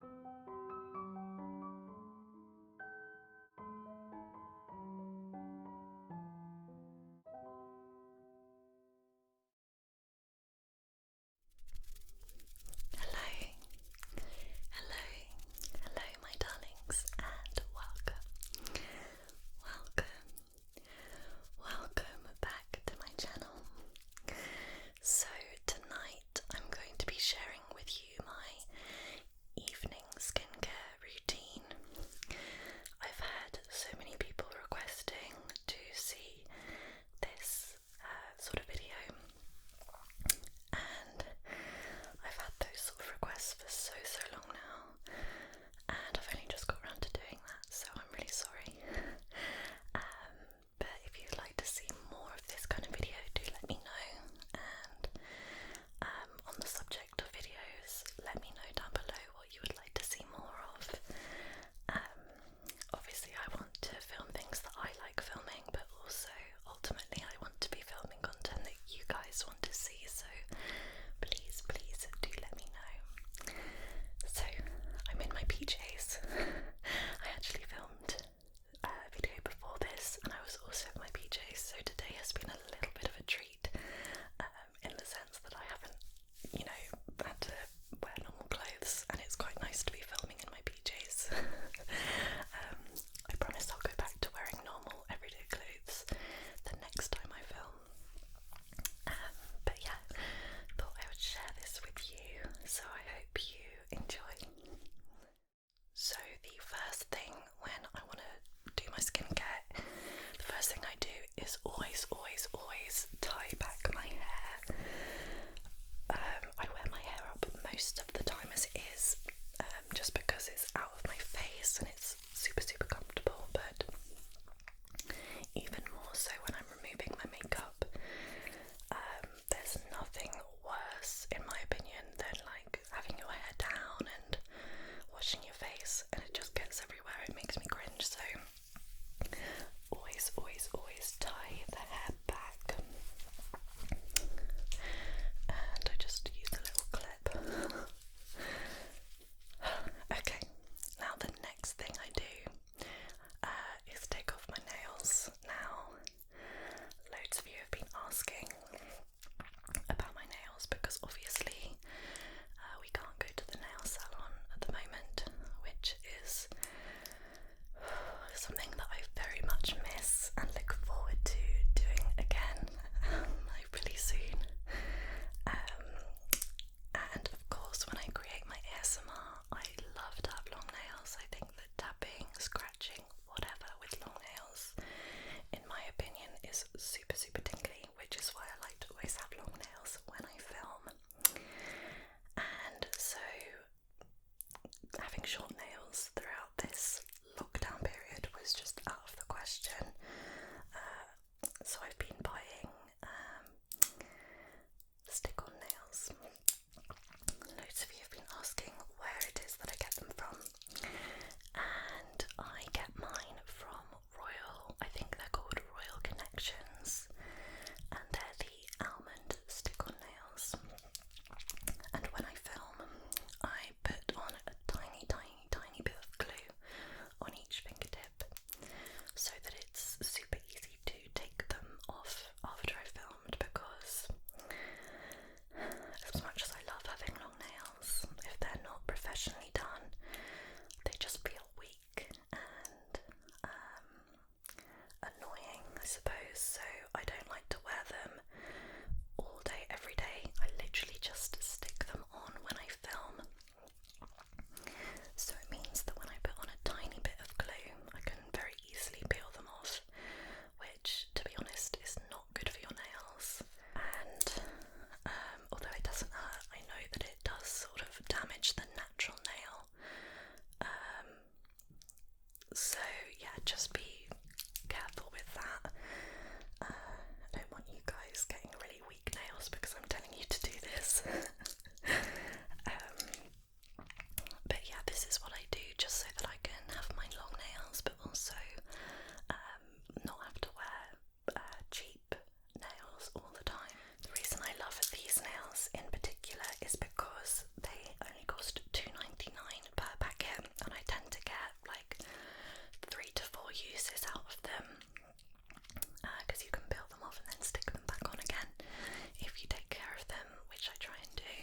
Hello, hello, hello, my darlings, and welcome, welcome, welcome back to my channel. So, tonight I'm going to be sharing with you my evening skincare routine. I've had so many people requesting to see this uh, sort of video, and I've had those sort of requests for so so long now, and I've only just got around to doing that, so I'm really sorry. Um, but if you'd like to see more of this kind of video, do let me know. And um, on the subject of videos, let me know down below what you would like to see more of. Um, obviously, I want to film things that I like filming, but also ultimately, I want to be filming content that you guys want to see. So please, please do let me know. So I'm in my PJs. I actually filmed uh, video before this, and I was also in my PJs, so today has been a little bit of a treat um, in the sense that I haven't, you know, had to wear normal clothes, and it's quite nice to be filming in my PJs. Um, I promise I'll go back to wearing normal everyday clothes the next time I film. Um, but yeah, thought I would share this with you, so I hope you enjoy. So, the first thing when I want to do my skincare, the first thing I do is always, always, always tie back my hair. Um, I wear my hair up most of the time as it is, um, just because it's out of my face and it's super, super comfortable. But even more so when I'm removing my makeup, um, there's nothing worse, in my opinion, than like having your hair down and washing your face, and it just gets everywhere. It makes me cringe. So, always, always, always tie the hair back. And I just use a little clip. okay, now the next thing I do uh, is take off my nails. Now, Loads of you have been asking about my nails because obviously uh, we can't go to the nail salon at the moment, which is something that I very much miss and look forward to doing again, um, hopefully soon. Um, and of course, when I create my ASMR, I love to have long nails. I think tapping, scratching, whatever with long nails, in my opinion, is super, super tingly, which is why I like to always have long nails when I film. And so, having short nails throughout this lockdown period was just out of the question. Uh, so I've been buying um, stick on nails. Loads of you have been asking where it is that I get them from, and I get mine from Royal, I think they're called Royal Connections, and they're the almond stick on nails. And when I film, I put on a tiny, tiny, tiny bit of glue on each fingertip so that it's super easy to take them off after I filmed because, as much as I love having long nails, if they're not professionally done, they just feel weak and um, annoying, I suppose. So I don't like to wear them all day, every day. I literally just stick them on when I film. So it means that when I put on a tiny bit of glue, I can very easily peel them off which, to be honest, is not good for your nails. And um, although it doesn't hurt, I know that it does sort of damage the natural nail. Um, so, yeah, just be careful with that. Uh, I don't want you guys getting really weak nails because I'm telling you to do this. Um, but yeah, this is what I do just so that I can have my long nails, but also um, not have to wear uh, cheap nails all the time. The reason I love these nails in particular is because they only cost two ninety nine per packet, and I tend to get like three to four uses out of them because uh, you can peel them off and then stick them back on again if you take care of them, which I try and do.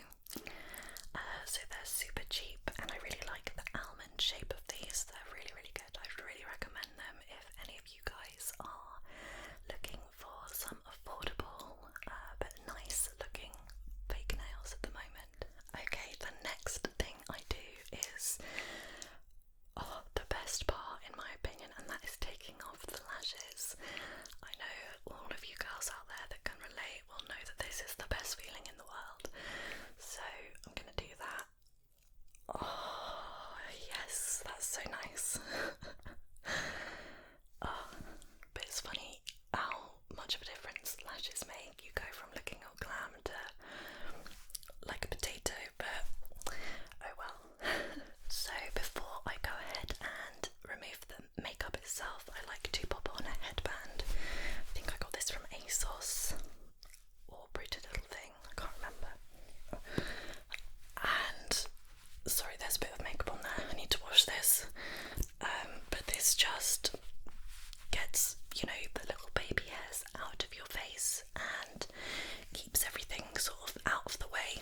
Uh, so they're super cheap, and I really like the almond shape of these. They're really, really good. I'd really recommend them if any of you guys are looking for some affordable uh, but nice looking fake nails at the moment. Okay, the next thing I do is. Oh, the best part, in my opinion, and that is taking off the lashes. I know all of you girls out there that can relate will know that this is the best feeling in the world. So I'm gonna do that. Oh, yes, that's so nice. oh, but it's funny how much of a difference lashes make. You go from looking all glam to like a potato, but oh well. so, before I go ahead and remove them, makeup itself, I like to pop on a headband. I think I got this from ASOS or Pretty Little Thing, I can't remember. And sorry, there's a bit of makeup on there, I need to wash this. Um, but this just gets, you know, the little baby hairs out of your face and keeps everything sort of out of the way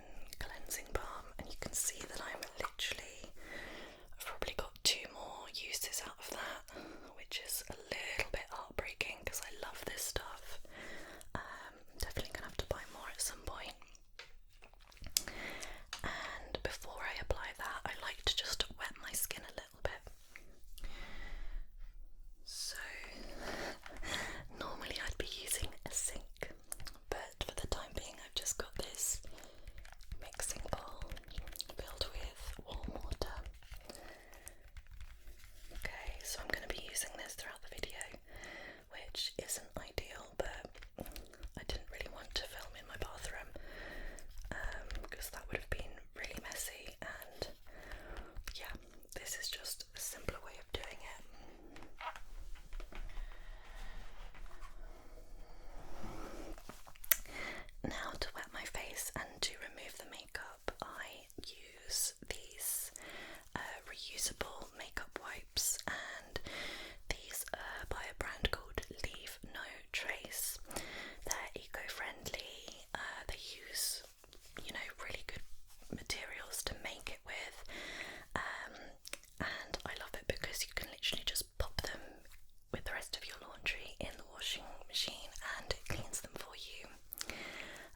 cleansing balm, and you can see that I'm literally I've probably got two more uses out of that, which is a little bit heartbreaking because I love this stuff. Um, definitely gonna have to buy more at some point. And before I apply that, I like to just wet my skin a little bit. So normally I'd be using a sink but for the time being, I've just got this mixing bowl filled with warm water. Okay, so I'm going to be using this throughout the video, which isn't ideal, but I didn't really want to film in my bathroom because um, that would have been really messy and yeah, this is just a simpler way of doing it. Now, to wet my face and to remove the makeup, I use these uh, reusable makeup wipes, and these are uh, by a brand called Leave No Trace. They're eco friendly, uh, they use you know, really good materials to make it with. Um, and I love it because you can literally just pop them with the rest of your laundry in the washing machine and it cleans them for you.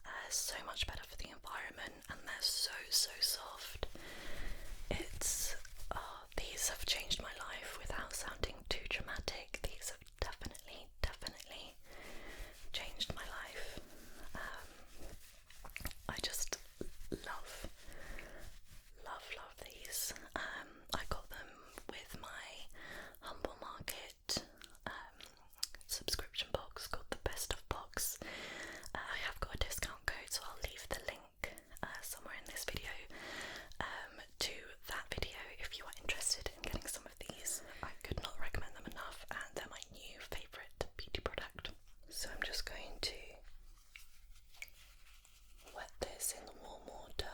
Uh, so much better for the environment, and they're so so soft. It's ah, these have changed my life without sounding too dramatic. These have definitely, definitely changed my life. Um, I just love, love, love these. Um, I got them with my Humble Market um, subscription box called the Best of Box. Uh, I have got a discount code, so I'll leave the link uh, somewhere in this video um, to that video if you are interested in getting some of these. I could not recommend them enough, and they're my new favourite beauty product. So I'm just going to wet this in the warm water.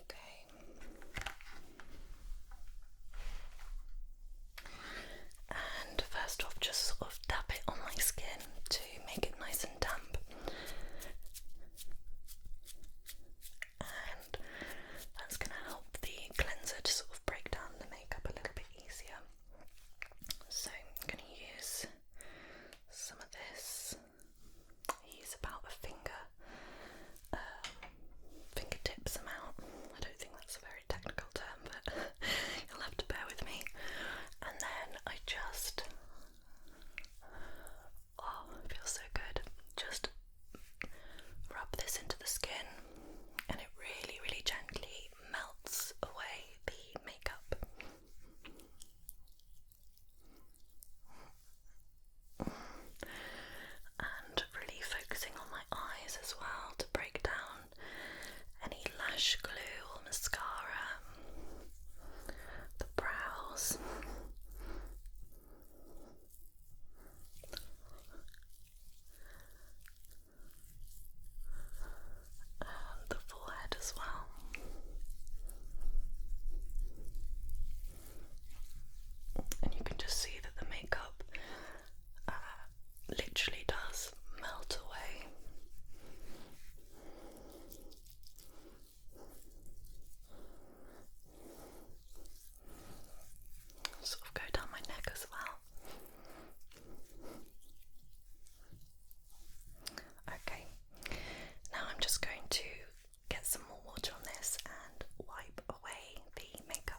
Okay. And first off, just sort of tap it on my skin make it nice and damp. And that's going to help the cleanser to sort of break down the makeup a little bit easier. So I'm going to use some of this. Use about a finger, um, fingertips amount. I don't think that's a very technical term, but you'll have to bear with me. And then I just, oh, feels so good. Just rub this into the skin, and it really, really gently melts away the makeup. And really focusing on my eyes as well to break down any lash glue or mascara, the brows. the forehead as well. And you can just see that the makeup uh, literally does melt away. Sort of go down my neck as well. Okay, now I'm just going to get some more water on this and wipe away the makeup.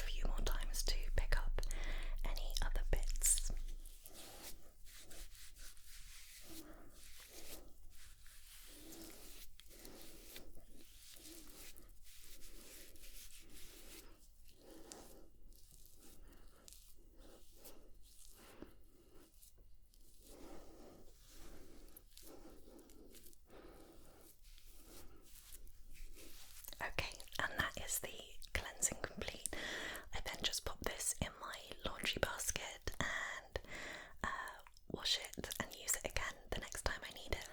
a few more times to pick up any other bits. Okay, and that is the cleansing complete. I then just pop this in my laundry basket and uh, wash it and use it again the next time I need it.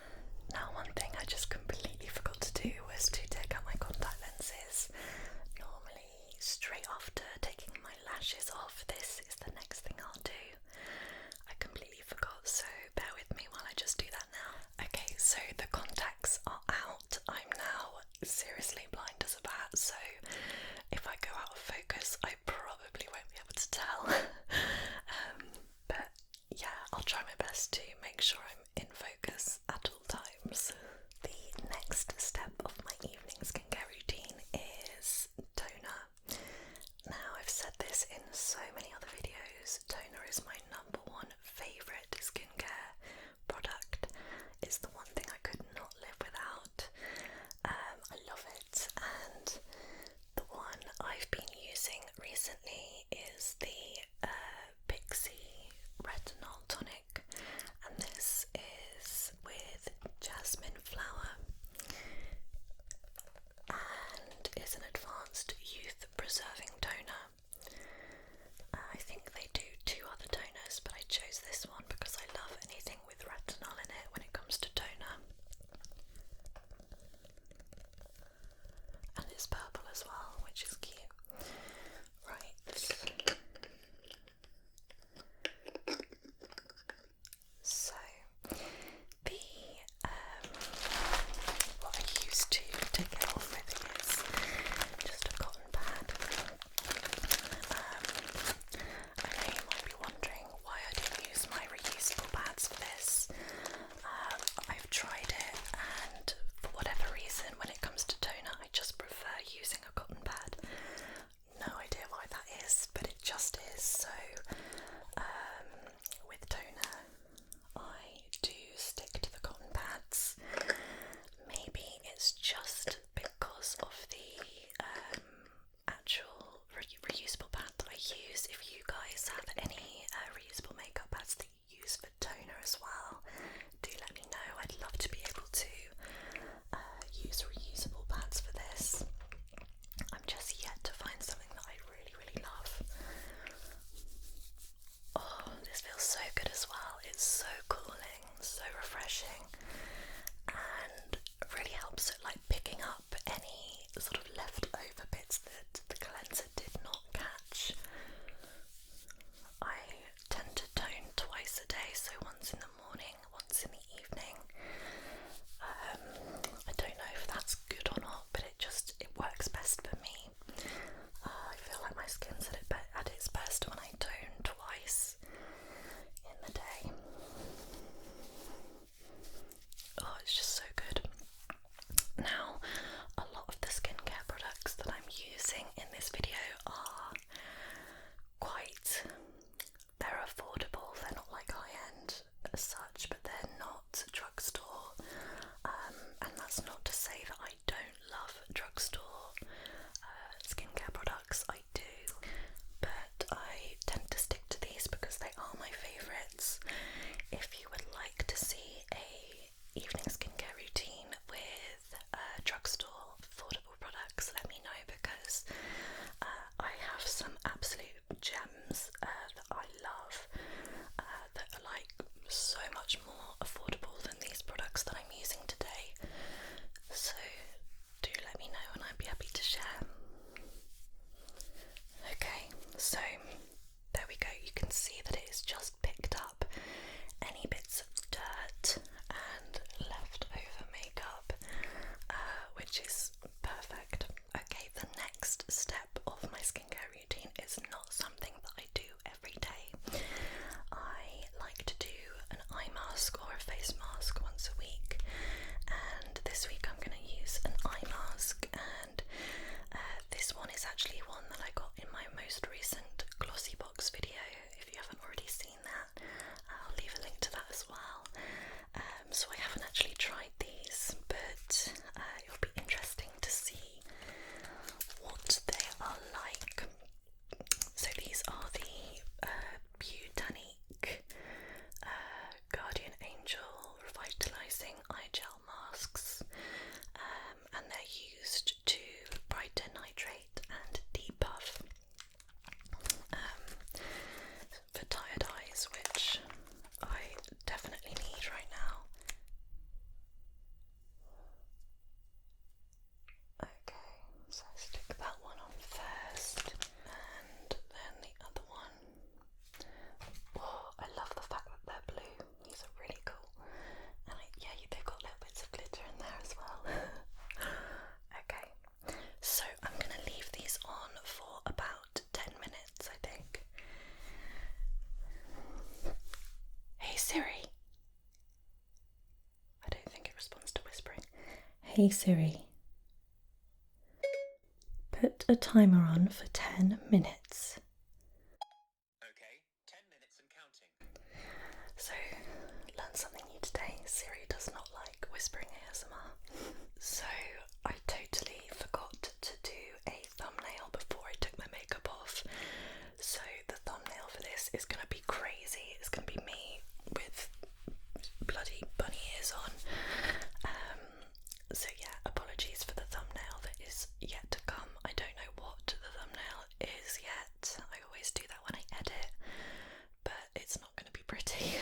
Now, one thing I just completely forgot to do was to take out my contact lenses. Normally, straight after taking my lashes off, this is the next thing I'll do. I completely forgot, so bear with me while I just do that. Okay, so the contacts are out. I'm now seriously blind as a bat, so if I go out of focus, I probably won't be able to tell. Um, but yeah, I'll try my best to make sure I'm in focus at all times. The next step of my evening skincare routine is toner. Now, I've said this in so many other videos, toner is my number one favourite skincare product. It's the one thing I could not live without. Um, I love it, and the one I've been using recently is the uh, Pixie Retinol Tonic, and this is with jasmine flower and is an advanced youth preserving toner. Uh, I think they do two other toners, but I chose this one because I love anything with retinol in it when it comes to toner. And it's purple as well, which is cute. Right. So, the um, what I use to take it off with is just a cotton pad. Um, I you might be wondering why I did not use my reusable pads for this. Um, I've tried it, and for whatever reason, when it comes to toner, I just prefer using a cotton pad. No idea why that is, but it just is. So, um, with toner, I do stick to the cotton pads. Maybe it's just because of the um, actual reusable pad that I use. If you guys have any uh, reusable makeup pads that you use for toner as well, do let me know. I'd love to be able to uh, use reusable pads for this. I'm just yet to find something that I really, really love. Oh, this feels so good as well. It's so cooling, so refreshing, and really helps it like picking up any sort of leftover bits that the cleanser did not catch. I tend to tone twice a day, so once in the morning, once in the evening. Um, I don't know if that's good or not, but it just it works best for me. Uh, I feel like my skin's at, its best when I tone twice in the day. Oh, it's just so good. Now, a lot of the skincare products that I'm using in this video are quite. They're affordable, they're not like high end such, but they're not drugstore, um, and that's not to say that I don't love drugstore uh, skincare products, I do, but I tend to stick to these because they are my favourites. If you would like to see a evening skincare routine with uh, drugstore affordable products, let me know because uh, I have some absolute gems that I love uh, that are like so much more affordable than these products that I'm using today. So do let me know and I'd be happy to share. Okay, so there we go. You can see that it has just picked up any bits of dirt and leftover makeup, uh, which is perfect. Okay, the next step of my skincare routine routine is not something that I do every day. I like to do an eye mask or a face mask once a week, and this week I'm going to use an eye mask. And uh, this one is actually one that I got in my most recent glossy box video. If you haven't already seen that, I'll leave a link to that as well. Um, so I haven't actually tried these, but uh, it will be interesting to see what they are like. So these are the uh, uh Guardian Angel Revitalizing Eye Gel Masks, um, and they're used to brighten, nitrate, and debuff um, for tired eyes, which I definitely need right now. Okay, so stick that one on first and then the other one. Oh, I love the fact that they're blue. These are really cool. And yeah, they've got little bits of glitter in there as well. okay, so I'm going to leave these on for about 10 minutes, I think. Hey Siri. I don't think it responds to whispering. Hey Siri. Put a timer on for 10 minutes. Okay, 10 minutes and counting. So, learn something new today. Siri does not like whispering ASMR. So, I totally forgot to do a thumbnail before I took my makeup off. So the thumbnail for this is gonna be crazy. It's gonna be me with bloody bunny ears on. Um, so yeah, apologies for the thumbnail that is yet to come. I don't know what the thumbnail is yet. I always do that when I edit, but it's not gonna be pretty.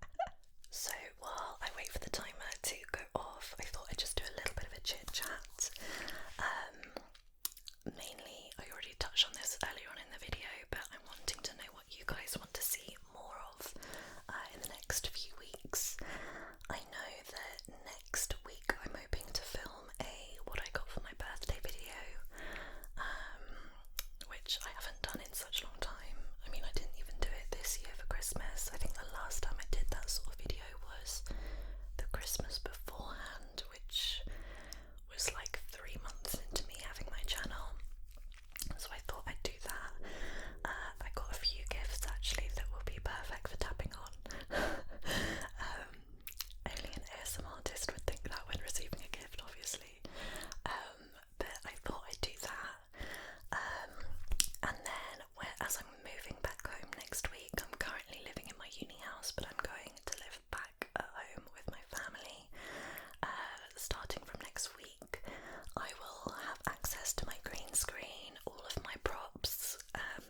so while I wait for the timer to go off, I thought I'd just do a little bit of a chit chat. Um, mainly, I already touched on this earlier on in the video, but I'm wanting to know what you guys want to see more of uh, in the next few weeks. I know that next week I'm hoping to film a what I got for my birthday video, um, which I haven't done in such a long time. I mean, I didn't even do it this year for Christmas. I think the last time I did that sort of video was the Christmas beforehand, which was like three months into me having my channel. So I thought I'd do that. Uh, I got a few gifts actually that will be perfect for tapping on. um, only an ASM artist would think that when receiving a gift, obviously. Um, but I thought I'd do that. Um, and then whereas I'm moving back home next week, I'm currently living in my uni house, but I'm going to live back at home with my family. Uh, starting from next week, I will have access to my green screen, all of my props, um,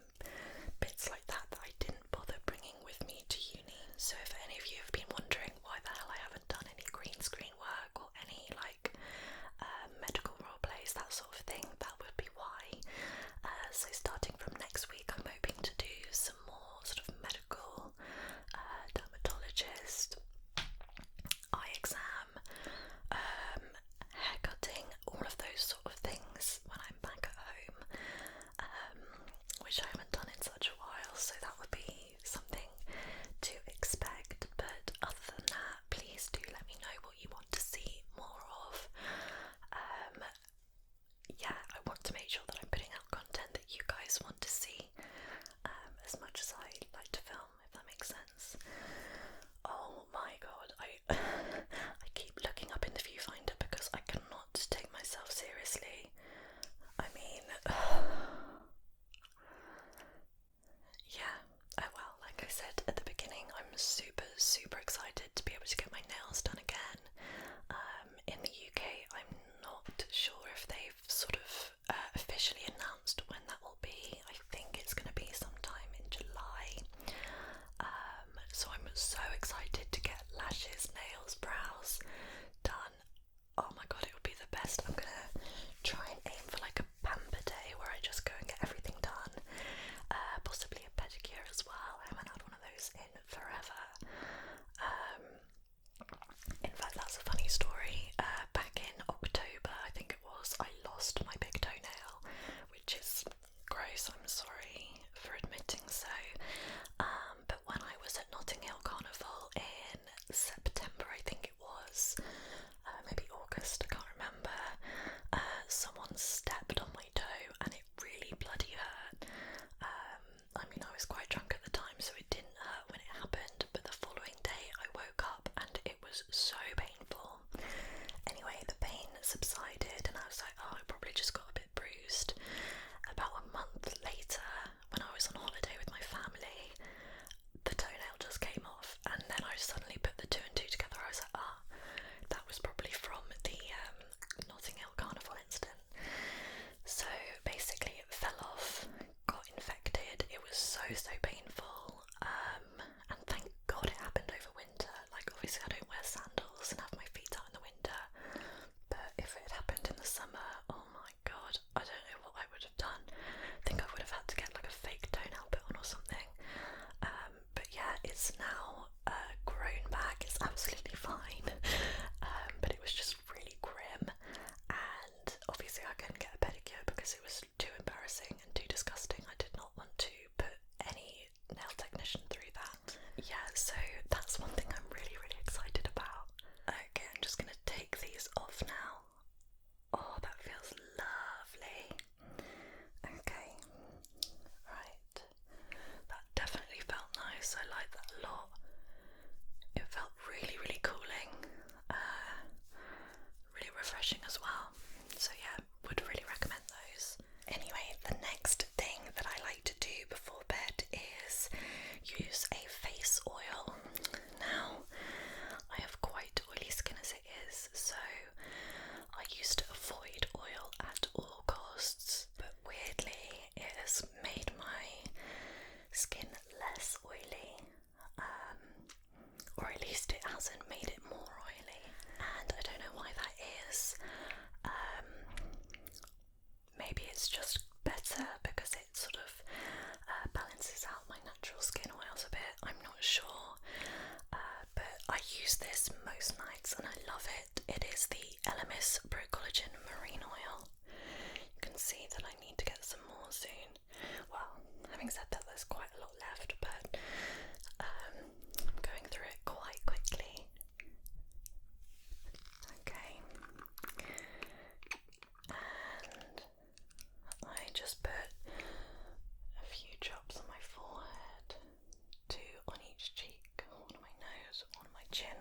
bits like that that I didn't bother bringing with me to uni. So, if any of you have been wondering why the hell I haven't done any green screen work or any like um, medical role plays, that sort of thing, that would be why. Uh, so, starting from next week, I'm hoping to do some more sort of medical, uh, dermatologist, eye exam, um, hair cutting, all of those sort of things when I'm back at home, um, which I haven't done in such a while, so that would be something to expect. But other than that, please do let me know what you want to see more of. Um, yeah, I want to make sure that I'm putting out content that you guys want to see um, as much as I like to film, if that makes sense. Oh my god, I I keep looking up in the viewfinder because I cannot take myself seriously. I mean, Yeah, I oh, well, like I said at the beginning, I'm super, super excited to be able to get my nails done again. Um, in the UK, I'm not sure if they've sort of uh, officially announced when that will be. I think it's going to be sometime in July. Um, so I'm so excited to get lashes, nails, brows done. Oh my god, it would be the best. I'm gonna try and aim for like a pamper day where I just go and get everything done. Uh, possibly a pedicure as well. I haven't had one of those in forever. Um, in fact, that's a funny story. Uh, back in October, I think it was, I lost my big toenail, which is gross. I'm sorry for admitting so. Um, but when I was at Notting Hill Carnival in September, I think it was, uh, maybe August, I can't remember. Uh, someone stepped on my toe and it really bloody hurt. Um, I mean, I was quite drunk at the time, so it didn't hurt when it happened, but the following day I woke up and it was so painful. Anyway, the pain subsided, and I was like, oh, I probably just got a bit bruised. About a month later, when I was on holiday with my family, the toe fingernail just came off, and then I suddenly put the two and two together. I was like, ah, that was probably from the um, Notting Hill Carnival incident. So basically, it fell off, got infected. It was so so painful, um, and thank God it happened over winter. Like obviously, I don't wear sandals and have my feet out in the winter, but if it happened in the summer, oh my God, I don't know what I would have done. I think I would have had to get like a fake toenail put on or something. Um, but yeah, it's now uh, grown back. It's absolutely fine, um, but it was just really grim, and obviously I couldn't get a pedicure because it was too embarrassing and too disgusting. I did not want to put any nail technician through that. Yeah, so that's one thing I'm really, really excited about. Okay, I'm just gonna take these off now. Oh, that feels lovely. Okay, right. That definitely felt nice. I like that a lot. It felt really, really cooling, uh, really refreshing as well. So, yeah, would really recommend those. Anyway, the next thing that I like to do before bed is use a face oil. Now, I have quite oily skin as is. So I used to avoid oil at all costs, but weirdly, it has made my skin less oily, um, or at least it hasn't made it more oily, and I don't know why that is. Um, maybe it's just better because it sort of uh, balances out my natural skin oils a bit. I'm not sure. Um, but I use this most nights and I love it. It is the Elemis Pro Collagen Marine Oil. You can see that I need to get some more soon. Well, having said that, there's quite a lot left, but um, I'm going through it quite quickly. Okay. And I just put a few drops on my forehead, two on each cheek, one on my nose, one on my chin.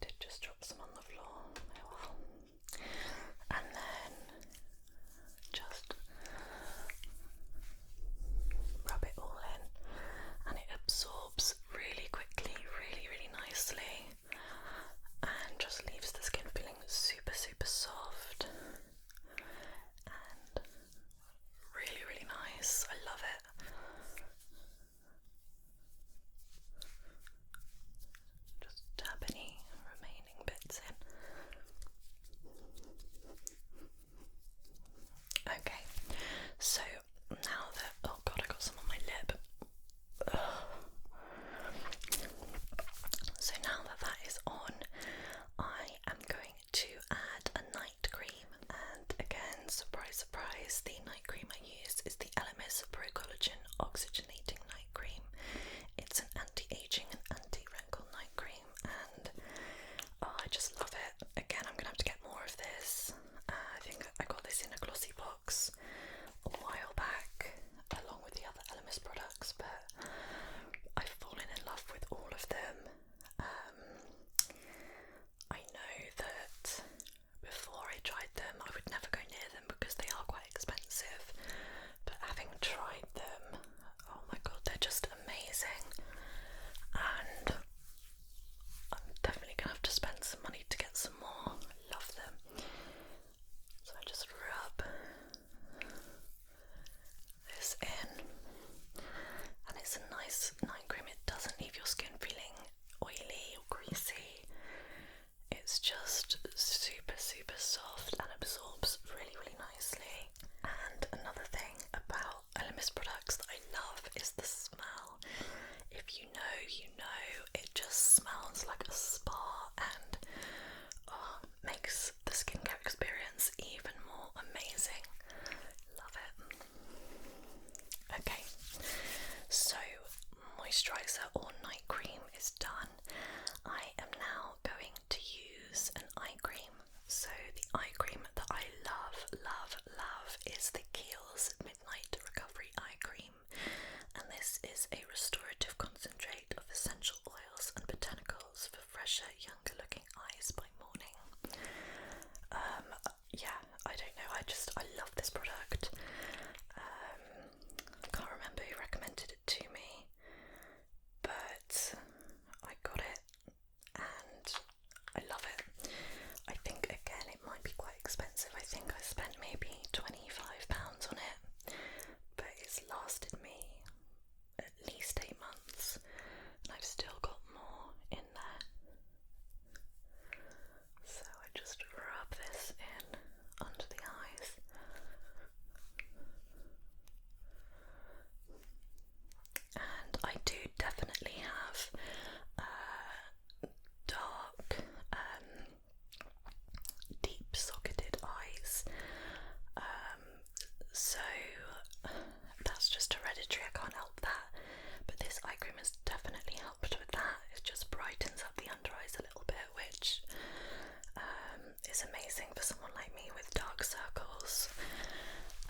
did just drop some on the floor, oh And then just rub it all in, and it absorbs really quickly, really, really nicely, and just leaves the skin feeling super, super soft really, really nice. I love it. Just tap any remaining bits in. Okay, so now that oh god, I got some on my lip. So now that that is on, I am going to add a night cream. And again, surprise, surprise, the night cream I use is the LMS Pro Collagen Oxygenating Night Cream. It's an anti-aging and anti-wrinkle night cream, and oh, I just love it. Again, I'm gonna have to get more of this. Uh, I think I got this in a glossy box a while back along with the other Elemis products, but I've fallen in love with all of them. Um, I know that before I tried them, I would never go near them because they are quite expensive, but having tried them, oh my god, they're just amazing. And I'm definitely gonna have to spend some money to get some more. Love them. So I just rub this in, and it's a nice night cream. It doesn't leave your skin feeling oily or greasy. It's just super, super soft and absorbs really, really nicely. And another thing about Elemis products that I love is the smell. If you know, you know, it just smells like a spa, and oh, makes the skincare experience even more amazing. Love it. Okay, so moisturizer or night cream is done. I am now going to use an eye cream. So, the eye cream that I love, love, love is the Kiehl's Midnight Recovery Eye Cream, and this is a restorative concentrate of essential oil and botanicals for fresher, younger looking eyes by morning. Um, yeah, I don't know, I just, I love this product. I um, can't remember who recommended it to me, but I got it and I love it. I think again it might be quite expensive. I think I spent maybe £25 on it, but it's lasted me at least eight months, and I've still got more in there. So I just rub this in under the eyes. And I do definitely have uh, dark um, deep socketed eyes. Um, so that's just hereditary, I can't help that. But this eye cream has definitely helped with that. It just brightens up the under eyes a little bit, which um, is amazing for someone like me with dark circles.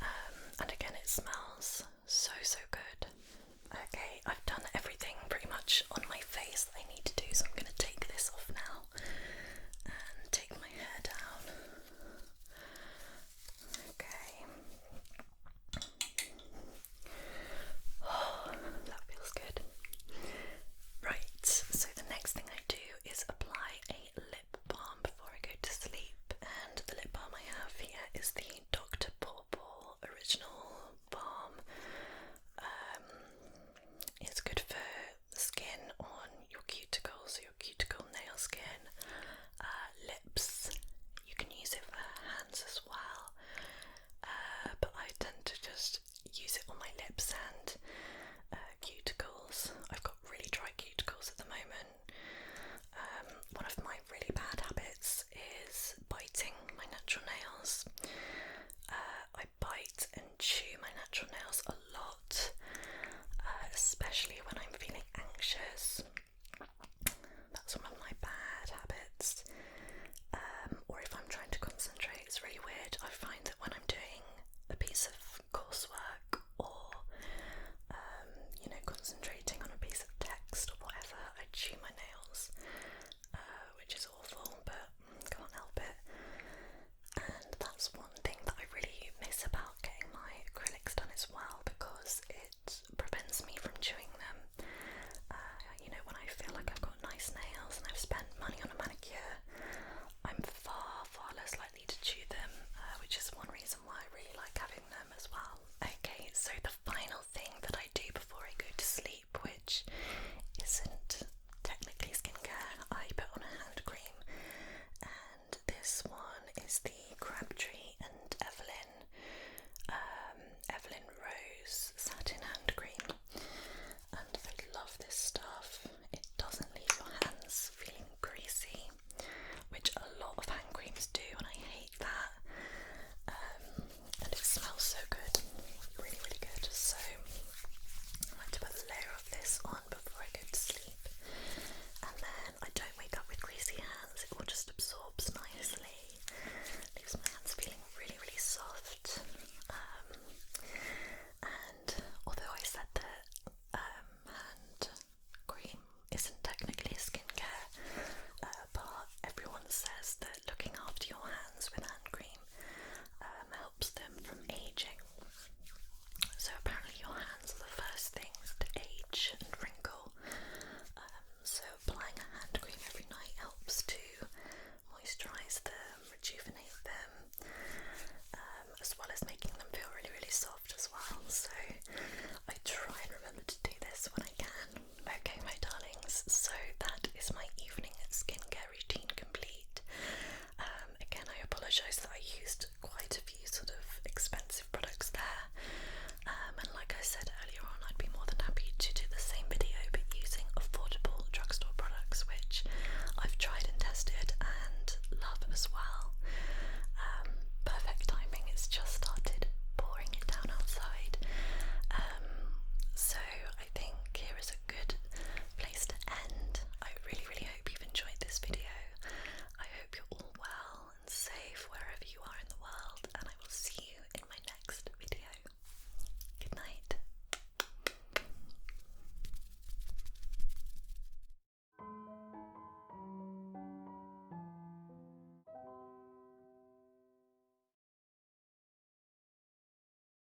Um, and again, it smells so so good. Okay, I've done everything pretty much on my face that I need to do, so I'm going to take this off now. And take my hair down. Okay. Oh, that feels good. Right, so the next thing I do is apply a lip balm before I go to sleep. And the lip balm I have here is the Dr. Pawpaw Original Balm. Um, it's good for the skin on your cuticles, your cuticle nail skin, uh, lips. You can use it for hands as well, uh, but I tend to just use it on my lips and uh, cuticles. I've got really dry cuticles at the moment. Um, one of my really bad habits is biting my natural nails. I bite and chew my natural nails a lot, uh, especially when I'm feeling anxious. That's one of my bad habits. Um, or if I'm trying to concentrate, it's really weird. I find that when I'm doing a piece of coursework or um, you know concentrating on a piece of text or whatever, I chew my nails, uh, which is is awful, but can't help it. And that's one thing that I really miss about getting my acrylics done as well because it prevents me from chewing them. Uh, you know, when I feel like I've got nice nails and I've spent money on a manicure, I'm far, far less likely to chew them, uh, which is one reason why I really like having them as well. Okay, so the final thing that I do before I go to sleep which isn't technically skincare. I put on a hand cream, and this one is the Crabtree and Evelyn um, Evelyn Rose satin hand cream, and I love this stuff. It doesn't leave your hands feeling greasy, which a lot of hand creams do, and I hate that. Um, and it smells so good, really, really good. So I like to put a layer of this on before I go to sleep, and then I don't wake up with greasy hands. It all just absorbs nicely, leaves my hands feeling really, really soft. Um, and although I said that um, hand cream isn't technically skincare uh, everyone says that looking after your hands with hand cream um, helps them from aging. So, apparently, your hands are the first things to age and wrinkle. Um, so, applying a hand cream every night helps to moisturise them, rejuvenate them, um, as well as making them feel really, really soft as well. So, I try and remember to do this when I can. Okay, my darlings, so that is my evening skincare routine complete. Um, again, I apologise that I used quite a few sort of expensive products there. Um, and like I said earlier on, I'd be more than happy to do the same video but using affordable drugstore products, which I've tried and tested and love as well. Um, perfect timing, it's just started pouring it down outside. so I think here is good place to end. I really, really hope you've enjoyed this video. I hope you're all well and safe wherever you are in the world, and I will see you in my next video. Good night.